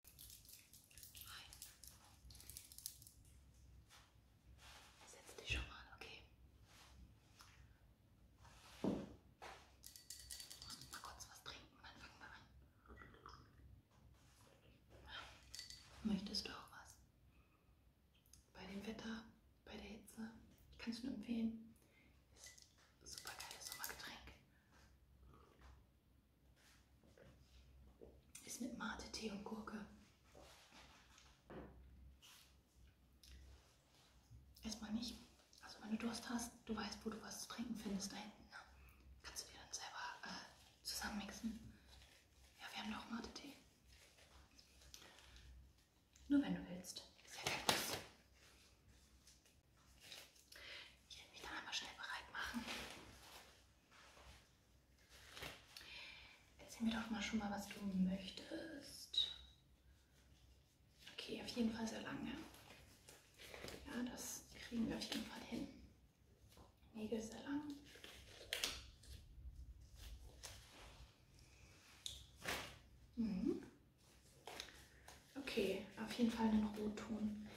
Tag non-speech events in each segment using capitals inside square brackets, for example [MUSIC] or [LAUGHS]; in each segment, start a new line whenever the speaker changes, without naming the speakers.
Hi. Setz dich schon mal, okay? Und mal kurz was trinken, dann fangen wir an. Möchtest du auch was? Bei dem Wetter, bei der Hitze, ich kann es nur empfehlen. Ist ein super geiles Sommergetränk. Ist mit Mate, Tee und Gurke. Erstmal nicht. Also wenn du Durst hast, du weißt, wo du was zu trinken findest da hinten. Ne? Kannst du dir dann selber äh, zusammenmixen. Ja, wir haben noch Mate-Tee. Nur wenn du willst. Ist ja kein Muss. Ich werde mich dann einmal schnell bereit machen. Erzähl mir doch mal schon mal, was du möchtest. Okay, auf jeden Fall sehr lange. Ja, das kriegen wir auf jeden Fall hin. Nägel sehr lang. Mhm. Okay, auf jeden Fall einen Rotton.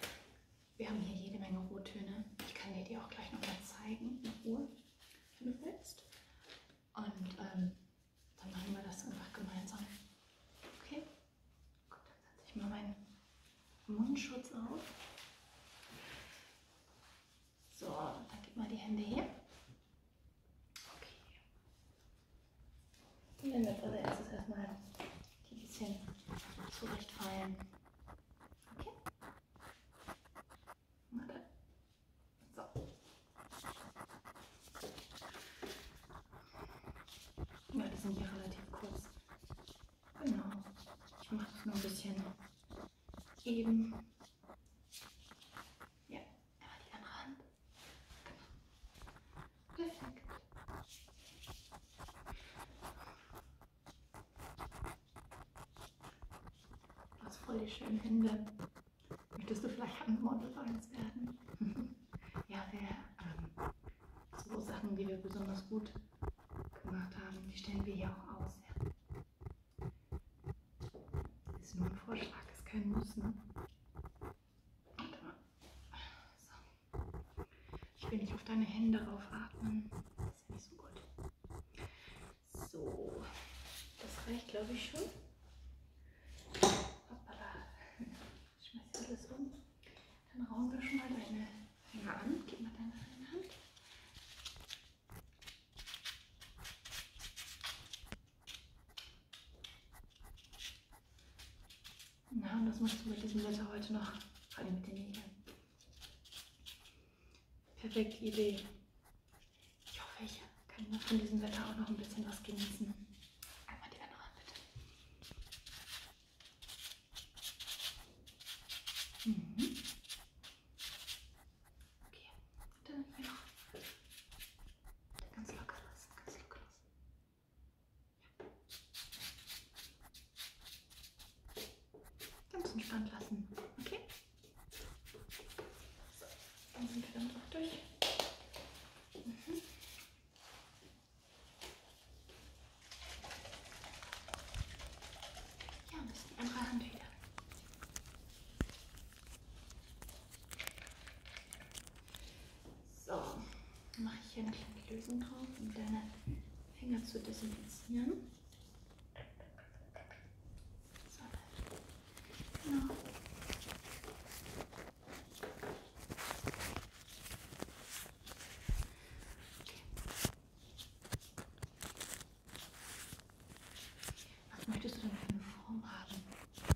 Wir haben hier jede Menge Rottöne. Ich kann dir die auch gleich nochmal zeigen, in Ruhe, wenn du willst. Und ähm, dann machen wir das einfach gemeinsam. Okay? Gut, dann setze ich mal meinen Mundschutz auf. So, dann gib mal die Hände her. Okay. Wenn wir als allererstes erstmal die bisschen zurechtfeilen. Okay? Okay. So. Ja, die sind hier relativ kurz. Genau. Ich mache es nur ein bisschen eben. Ja, einmal die andere Hand. Genau. Perfekt. Du hast voll die schönen Hände. Möchtest du vielleicht ein Model bei uns werden? [LAUGHS] ja, wir ähm, so Sachen, die wir besonders gut gemacht haben, die stellen wir hier auch aus. Ja. Das ist nur ein Vorschlag, ist kein Muss. Ne? So. Ich will nicht auf deine Hände raufatmen. Das ist ja nicht so gut. So, das reicht, glaube ich, schon. Hoppala. Ich schmeiß alles um. Dann rauen wir schon mal deine Finger an. Gib mal deine eine Hand. Na, und was machst du mit diesem Wetter heute noch? Vor allem mit den Nägeln. Perfekte Idee. Ich hoffe, ich kann noch von diesem Wetter auch noch ein bisschen was genießen. Einmal die andere, bitte. Mhm. Okay, dann einfach. Ganz locker lassen, ganz locker lassen. Ganz entspannt lassen, okay? So, dann sind wir dann auch durch. Mhm. Ja, das ist die andere Hand wieder. So, mache ich hier eine kleine Lösung drauf, um deine Finger zu desinfizieren. So, genau. Okay. Was möchtest du denn für eine Form haben?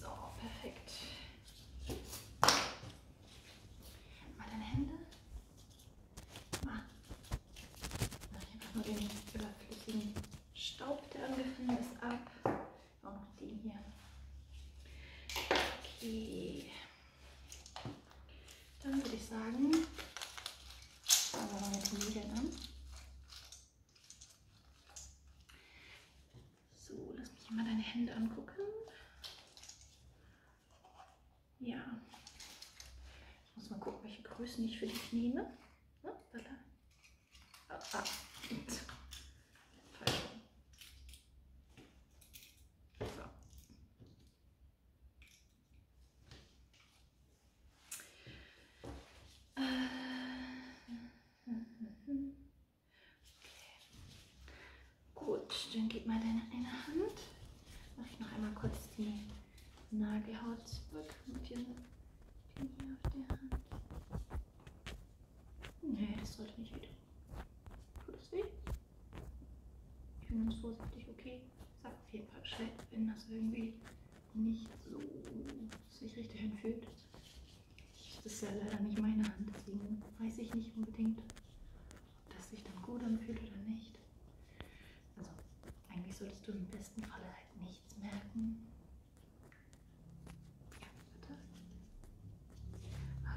So, perfekt. Mal deine Hände. Mal. Ich einfach nur den überflüssigen Staub, der angefallen ist, ab. Auch noch den hier. Okay. Dann würde ich sagen, fangen wir mal mit den Nägeln an. So, lass mich mal deine Hände angucken. Ja. Ich muss mal gucken, welche Größen ich für dich nehme. Ne? Ah, ah. So. Äh. Okay. Gut, dann gib mal deine eine Hand. Mach ich noch einmal kurz die Nagelhaut zurück mit dem hier auf der Hand. Nee, das sollte nicht wieder. Tut das weh? Ich bin ganz vorsichtig, okay. Sag auf jeden Fall Bescheid, wenn das irgendwie nicht so sich richtig anfühlt. Das ist ja leider nicht meine Hand, deswegen weiß ich nicht unbedingt, ob das sich dann gut anfühlt oder nicht. Also eigentlich solltest du im besten Falle halt nichts merken. Ja, bitte.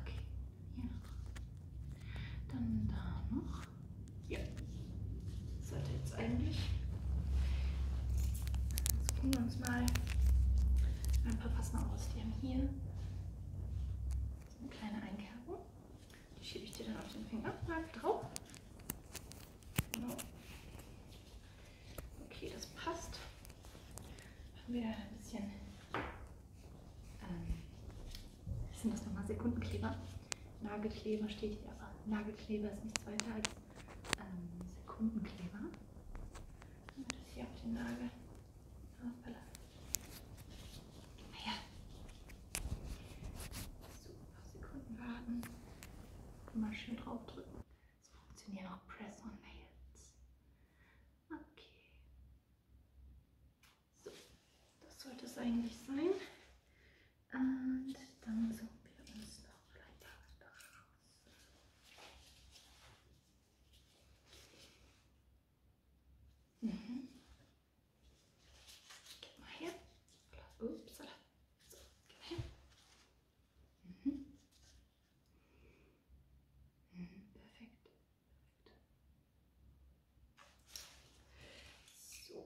Okay, hier noch. Dann da noch. Ja, das sollte jetzt eigentlich. Jetzt gucken wir uns mal ein paar Fassen aus. Wir haben hier so eine kleine Einkerbung. Die schiebe ich dir dann auf den Finger. Mal drauf. Genau. Okay, das passt. Machen wir ein bisschen. Ähm, sind das nochmal Sekundenkleber? Nagelkleber steht hier, aber Nagelkleber ist nichts weiter als ähm, Sekundenkleber. Dann wird das hier auf den Nagel ausbelassen. Ah, naja. So, noch Sekunden warten. Und mal schön draufdrücken. Es funktionieren auch Press-on-Nails. Okay. So, das sollte es eigentlich sein. Und dann suchen wir uns noch vielleicht was raus. Mhm. Gib mal her. Ups, so, gib mal her. Mhm. Mhm, perfekt. perfekt. So.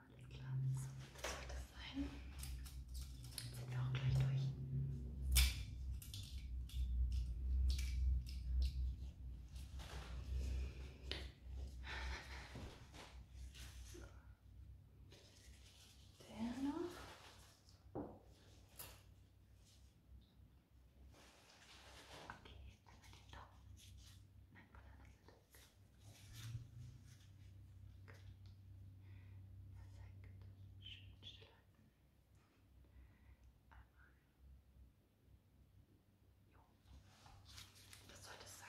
alles klar. So, das sollte es sein. Jetzt sind wir auch gleich durch. So. Der noch. Okay, jetzt einmal den Daumen. Nein, von der anderen Seite. Perfekt. Schön still halten. Einmal. Jo. Das sollte es sein.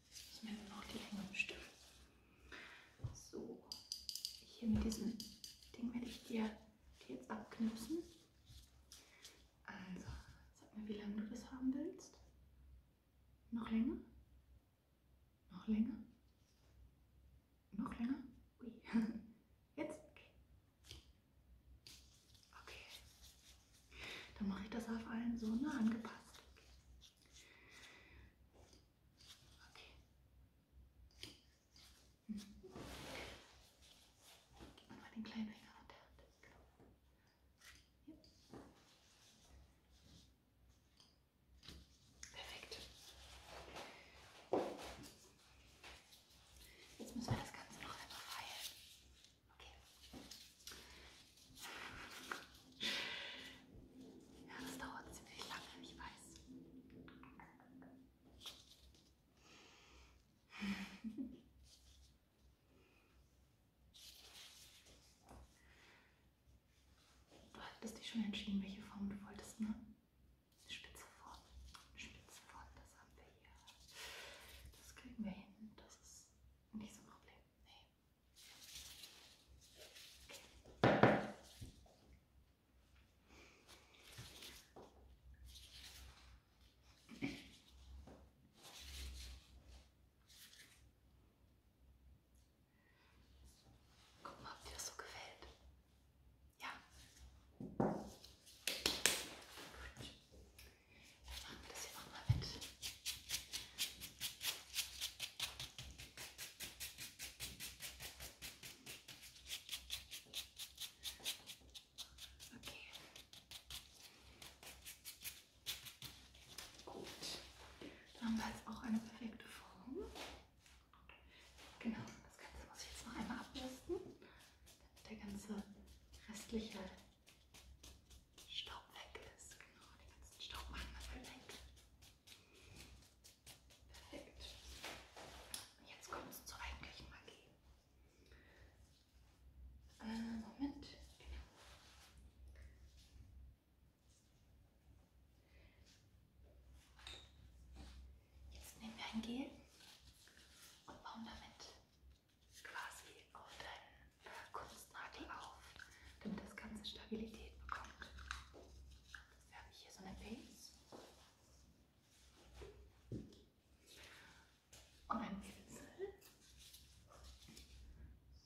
Ich nehme noch die engen Stücke. So, hier mit diesem Ding werde ich dir die jetzt abknipsen. Also, sag mir, wie lange du das haben willst. Noch länger? Noch länger? Noch länger? Ui. [LAUGHS] Jetzt? Okay. okay. Dann mache ich das auf allen so nah ne, angepasst. Okay. Mhm. Gib mal den kleinen Finger runter. Ja. Perfekt. Jetzt müssen wir das Ganze noch einmal feilen. Okay. Ja, das dauert ziemlich lange, ich weiß. Du hattest dich schon entschieden, welche Form du wolltest, ne? Eine spitze Form. Eine spitze Form, das haben wir hier. Das kriegen wir hin. Das ist nicht so ein Problem. Nee. Guck mal, ob dir das so gefällt. Ja. Gut. Jetzt machen wir das hier nochmal mit. Okay. Gut. Dann haben wir jetzt auch eine perfekte Form. Genau, das Ganze muss ich jetzt noch einmal abrüsten, damit der ganze restliche Staub weg ist. Genau, den ganzen Staub machen wir weg. Perfekt. Jetzt kommt es zur eigentlichen Magie. Äh, Moment. Genau. Jetzt nehmen wir ein Gel und bauen damit quasi auf deinen äh, Kunstnagel auf, damit das Ganze Stabilität bekommt. Dafür habe ich hier so eine Base und einen Pinsel.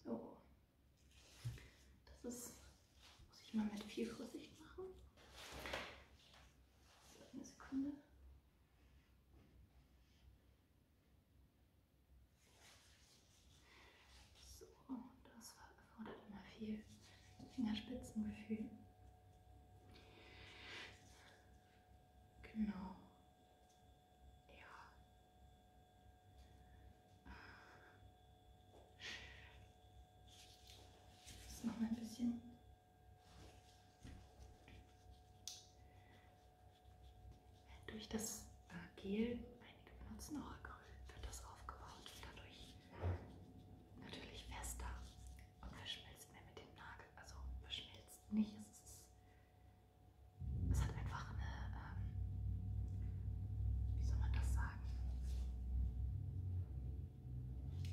So, das ist, muss ich mal mit viel Vorsicht machen. Eine Sekunde. So, das erfordert immer viel Fingerspitzengefühl. Genau. Ja. Das noch mal ein bisschen. Durch das Gel, einige benutzen auch Acryl, wird das aufgebaut und dadurch natürlich fester und verschmilzt mehr mit dem Nagel. Also verschmilzt nicht, es, ist, es hat einfach eine, ähm, wie soll man das sagen?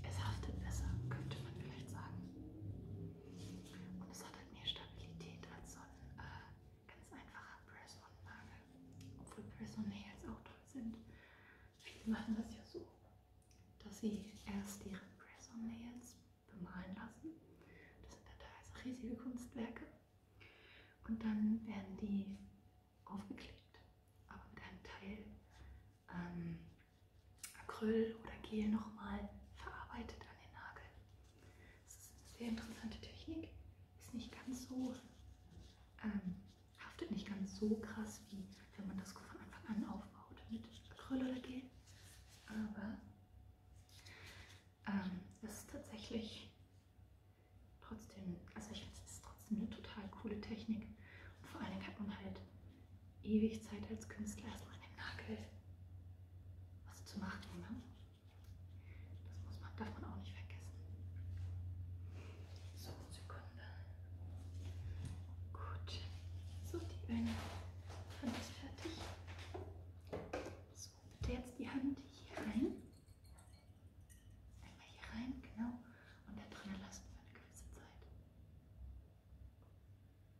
Es haftet besser, könnte man vielleicht sagen. Und es hat halt mehr Stabilität als so ein äh, ganz einfacher Press-on-Nagel. Obwohl Press-on-Nails auch toll sind. Viele machen das ja so, dass sie erst ihre Press-on-Nails bemalen lassen. Das sind ja teilweise riesige Kunstwerke. Und dann werden die aufgeklebt, aber mit einem Teil ähm, Acryl oder Gel nochmal verarbeitet an den Nagel. Das ist eine sehr interessante Technik. Ist nicht ganz so, ähm, haftet nicht ganz so krass, wie wenn man das von Anfang an aufbaut mit Acryl oder Gel. Aber ähm, es ist tatsächlich trotzdem, also ich finde es ist trotzdem eine total coole Technik. Und vor allen Dingen hat man halt ewig Zeit als Künstler erstmal den Nagel was zu machen. Ne? Das muss man, darf man auch nicht vergessen. So, Sekunde. Gut. So, die eine Hand ist fertig. So, bitte jetzt die Hand hier rein. Einmal hier rein, genau. Und da drin lassen für eine gewisse Zeit.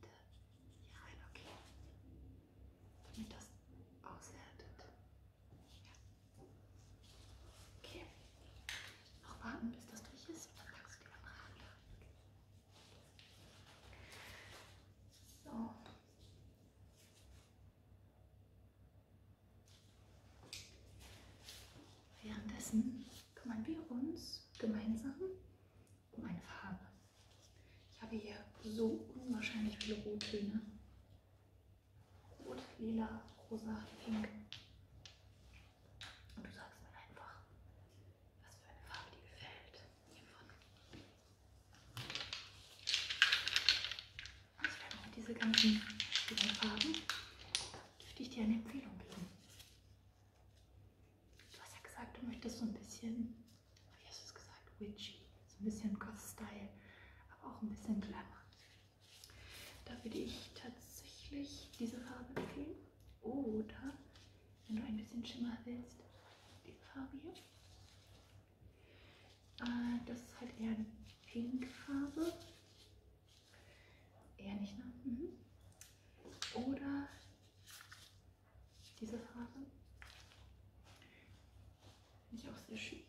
bitte hier rein, okay? Damit das aushärtet. Ja. Okay. Noch warten, bis das durch ist. Dann packst du die andere Hand an. So. Währenddessen kümmern wir uns gemeinsam um eine Farbe. Ich habe hier so unwahrscheinlich viele Rottöne. Rot, lila, rosa, pink. Und du sagst mir einfach, was für eine Farbe dir gefällt. Hiervon. Also wir haben auch diese ganzen vielen Farben. Dürfte ich dir eine Empfehlung geben? Du hast ja gesagt, du möchtest so ein bisschen, wie hast du es gesagt, witchy, so ein bisschen Goth-Style, aber auch ein bisschen Glamour. Da würde ich tatsächlich diese Farbe empfehlen. Oder, wenn du ein bisschen Schimmer willst, diese Farbe hier. Äh, das ist halt eher eine Pinkfarbe. Eher nicht, ne? Mhm. Oder diese Farbe finde ich auch sehr schön.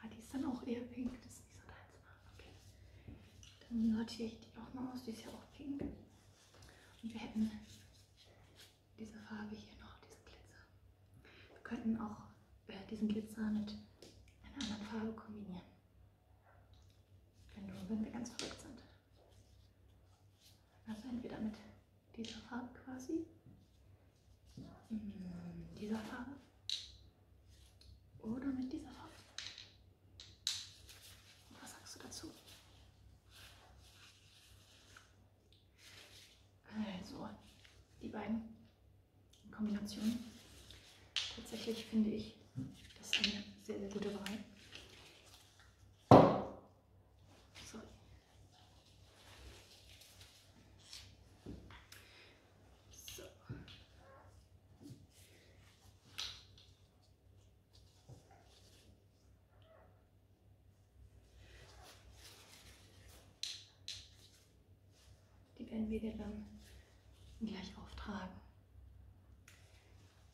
Ah, die ist dann auch eher pink, das ist nicht so deins. Okay. Dann sortiere ich die auch mal aus, die ist ja auch pink. Und wir hätten diese Farbe hier noch, diesen Glitzer. Wir könnten auch äh, diesen Glitzer mit einer anderen Farbe kombinieren. Können nur, wenn wir ganz verrückt sind. Also entweder mit dieser Farbe quasi, mhm, dieser Farbe oder mit dieser Farbe. Was sagst du dazu? Also, die beiden Kombinationen. Tatsächlich finde ich das ist eine sehr, sehr gute Wahl. So. So. Die werden wir dann gleich auftragen.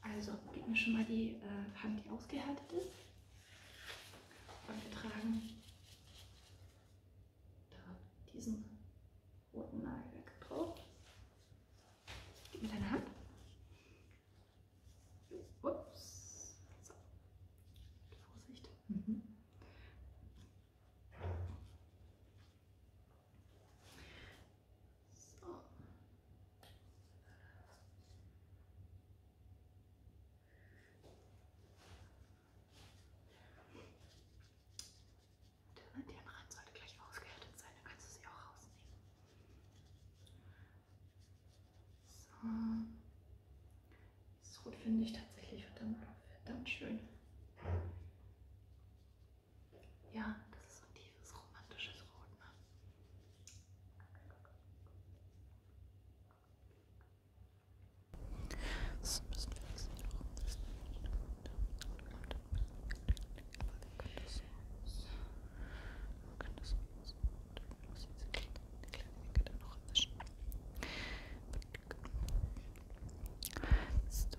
Also gib mir schon mal die äh, Hand, die ausgehärtet ist. Und wir tragen da diesen roten Nagel drauf. Gib mir deine Hand. Ups. So. Vorsicht. Mhm. So. Der Nierenrand sollte gleich ausgehärtet sein, dann kannst du sie auch rausnehmen. So. Das Rot finde ich tatsächlich verdammt, verdammt schön. Ja, das ist so ein tiefes, romantisches Rot. Ne? Das ist ein bisschen flexibel. Man kann das so nutzen. Man muss diese kleine Ecke dann noch erwischen. Siehst du?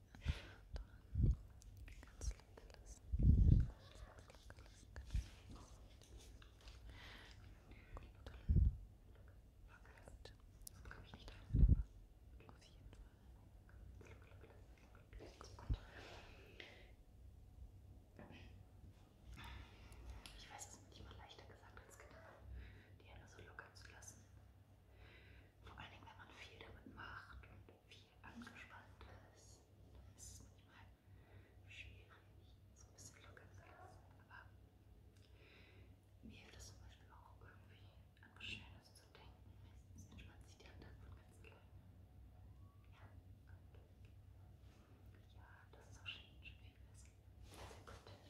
Ganz locker lassen. Gut. komme ich nicht auf jeden Fall. Gut. Ich weiß, es ist manchmal leichter gesagt als getan, die Hände so locker zu lassen vor allen Dingen, wenn man viel damit macht und viel angespannt ist, dann ist es manchmal schwierig, so ein bisschen locker zu lassen. Aber mir hilft das zum Beispiel auch irgendwie an was Schönes zu denken. Meistens entspannt sich die Hand dann von ganz alleine. Ja, und ja, das ist auch schön, schön viel besser. Sehr gut.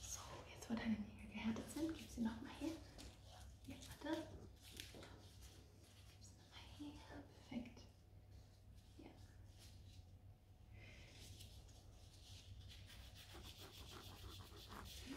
So, jetzt wo deine Nägel gehärtet sind, gib sie nochmal her. Hier, warte. Gib sie nochmal her. Perfekt. Hier.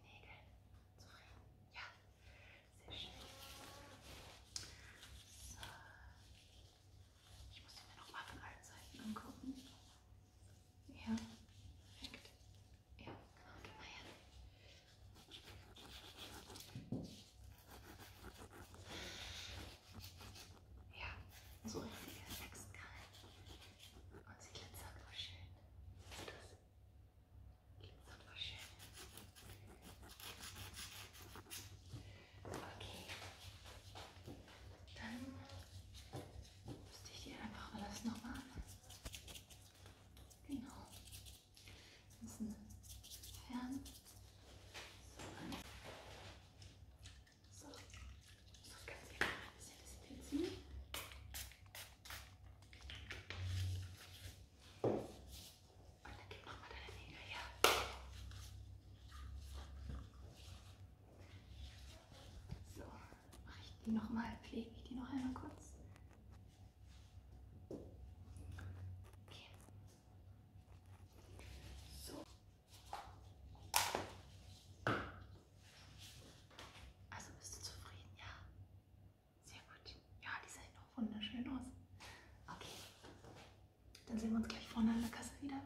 den Nägeln zufrieden? Ja, sehr schön. So. Ich muss mir nochmal von allen Seiten angucken. Ja, perfekt. Ja, genau, geh mal her. Ja, so richtig relaxed geil. Und sie glitzert voll schön. Siehst du das? Glitzert voll schön. Okay. Dann müsste ich dir einfach alles nochmal an. Genau. Das ist ein Fern. So. so. Ich muss ganz gerne mal ein bisschen desinfizieren. Und dann gib nochmal deine Nägel her. So, mache ich die nochmal, pflege ich die noch einmal kurz. Okay. So. Also bist du zufrieden, ja? Sehr gut. Ja, die sehen doch wunderschön aus. Okay. Dann sehen wir uns gleich vorne an der Kasse wieder.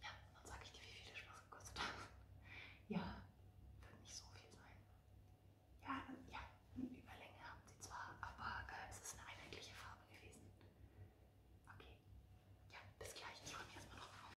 Ja, dann sage ich dir, wie viel der Spaß gekostet hat. Ja, wird nicht so viel sein. Ja, ja, eine Überlänge haben sie zwar, aber äh, es ist eine einheitliche Farbe gewesen. Okay. Ja, bis gleich. Ich räume erstmal noch auf.